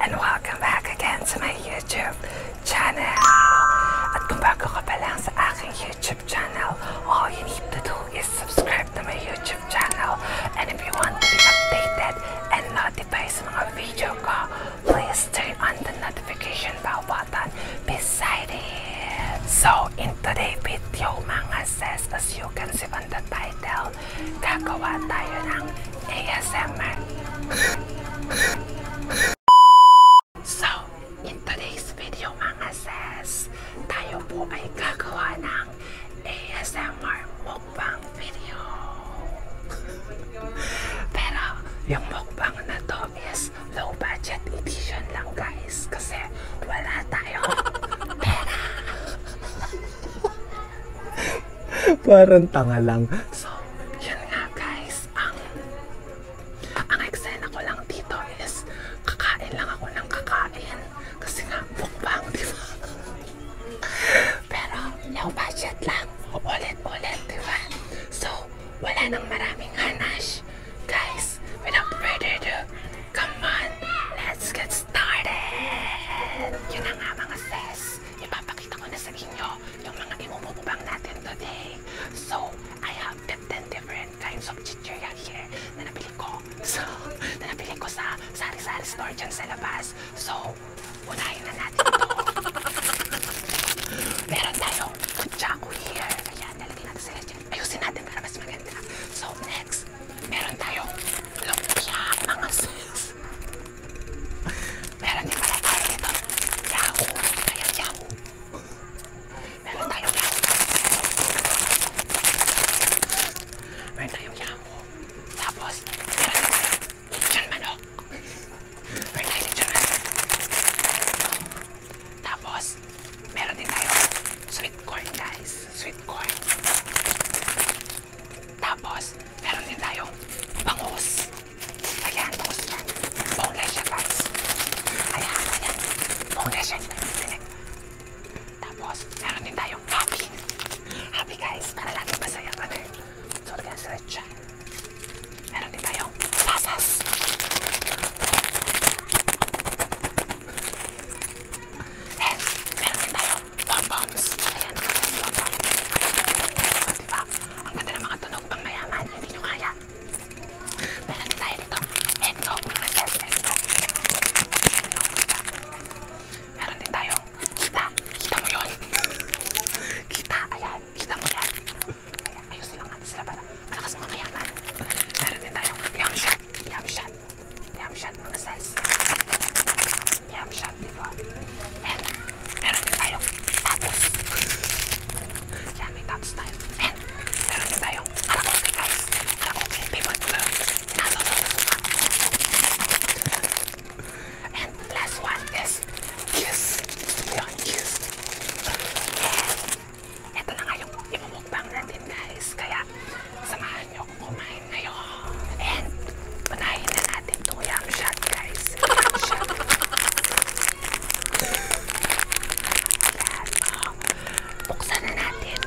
and welcome back again to my YouTube channel. At kung bago ka YouTube channel, all you need to do is subscribe to my YouTube channel. And if you want to be updated and notified sa mga video ko, please turn on the notification bell button beside it. So, in today's video, mga says, as you can see on the title, gagawa tayo ng ASMR. so, in today's video mga sis, tayo po ay gagawa ng ASMR mukbang video. Pero, yung mukbang na to is low budget edition lang guys kasi wala tayo pera. Parang tanga lang. So, yan nga guys. Ang, ang eksena ko lang dito is kakain lang ako ng kakain. Kasi nga, mukbang, di ba? Pero, low budget lang. Ulit-ulit, di ba? So, wala nang maraming hanash. Guys, without further ado, come on, let's get started! Yun na nga mga sis ipapakita ko na sa inyo yung mga imumubang natin today. So, I have 10 different kinds of chichirya here na nabili ko. So, na nabili ko sa sari-sari store dyan sa labas. So, unahin na natin ito. Meron tayong kutsako here. Ayan, nalagay natin sila dyan. Ayusin natin para mas maganda. So, next, meron tayong lumpia mga sis meron din pala tayo dito yahoo kaya yahoo meron tayong yahoo meron tayong yahoo tapos meron din pala lechon manok meron tayong lechon manok tapos meron din tayong sweet corn guys sweet corn Tapos, meron din tayong bangus. Ayan, bangus niya. Boneless siya, guys. Ayan, ayan. Boneless siya. Tapos, meron din tayong happy. Happy, guys. Para lagi masaya ka na. So, guys, right siya. Meron din tayong pasas. And, meron din tayong Bobox. Ayan, Bobox. Ayan, diba? Ang ganda ng mga tunog pang mayaman. Hindi nyo kaya. Meron tayo dito. Endo. Yes, endo. Endo. Meron din tayo. Kita. Kita mo yun. Kita. Ayan. Kita mo yan. Ayan. Ayos nilang natin sila para malakas mga mayaman. Meron din tayo. Young shot. Young shot. Yum shot mga size. Yum shot, di ba? And, meron din tayong tatos. Yan, may tatos tayo. And, meron din tayong karakoke, guys. Karakoke, paper glove. Nasa sa sa And, last one is kiss. Yan, kiss. And, eto na nga yung imumukbang natin, guys. Kaya, samahan nyo kumain ngayon. And, unahin na natin itong yam shot, guys. Shot. Yan. Oh. Um, buksan na natin.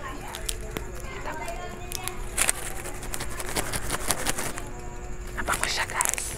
Ayan. Abang ko siya, guys.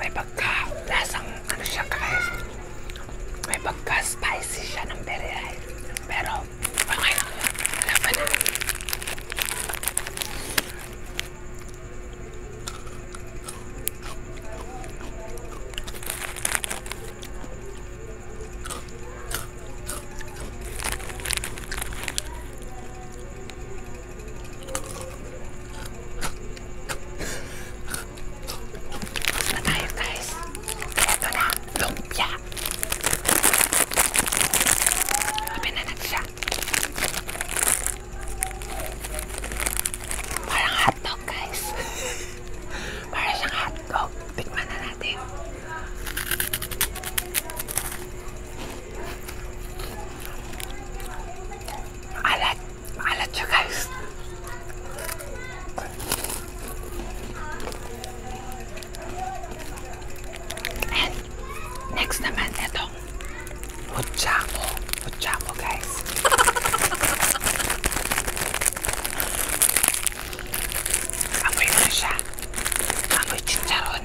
May pagka lasang ano siya guys. May pagka spicy siya ng berry Pero okay lang yun. Laban na na tayo guys. Ito na, lumpia. Sabi na nagsya. Parang hotdog guys. Parang siyang hotdog. Tikman na natin. I like, I like you guys. And next naman itong Mojamo. Mojamo guys. Amoy mo siya. Amoy chicharon.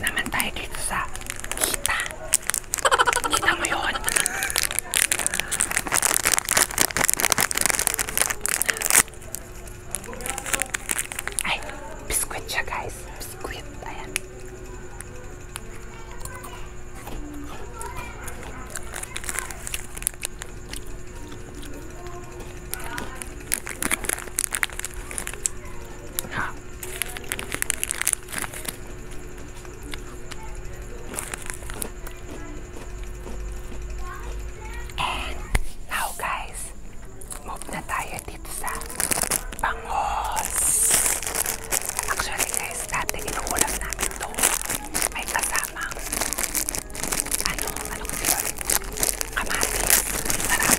生対決さ聞いた聞いたのよはいビスクイッチャガイズビスクイッタや Ha. And now guys, move na tayo dito sa bangos. Actually guys, dati inuulam namin to. May kasamang ano, ano kasi yun? Kamatis. Sarap.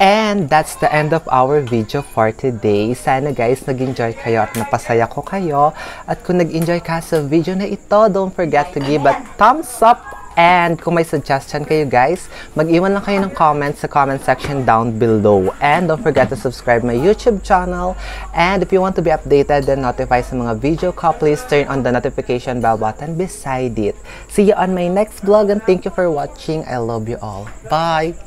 And that's the end of our video for today. Sana guys nag-enjoy kayo at napasaya ko kayo. At kung nag-enjoy ka sa video na ito, don't forget to give a thumbs up And kung may suggestion you guys, mag-iwan lang kayo ng comments sa comment section down below. And don't forget to subscribe my YouTube channel. And if you want to be updated and notified sa mga video ko, please turn on the notification bell button beside it. See you on my next vlog and thank you for watching. I love you all. Bye!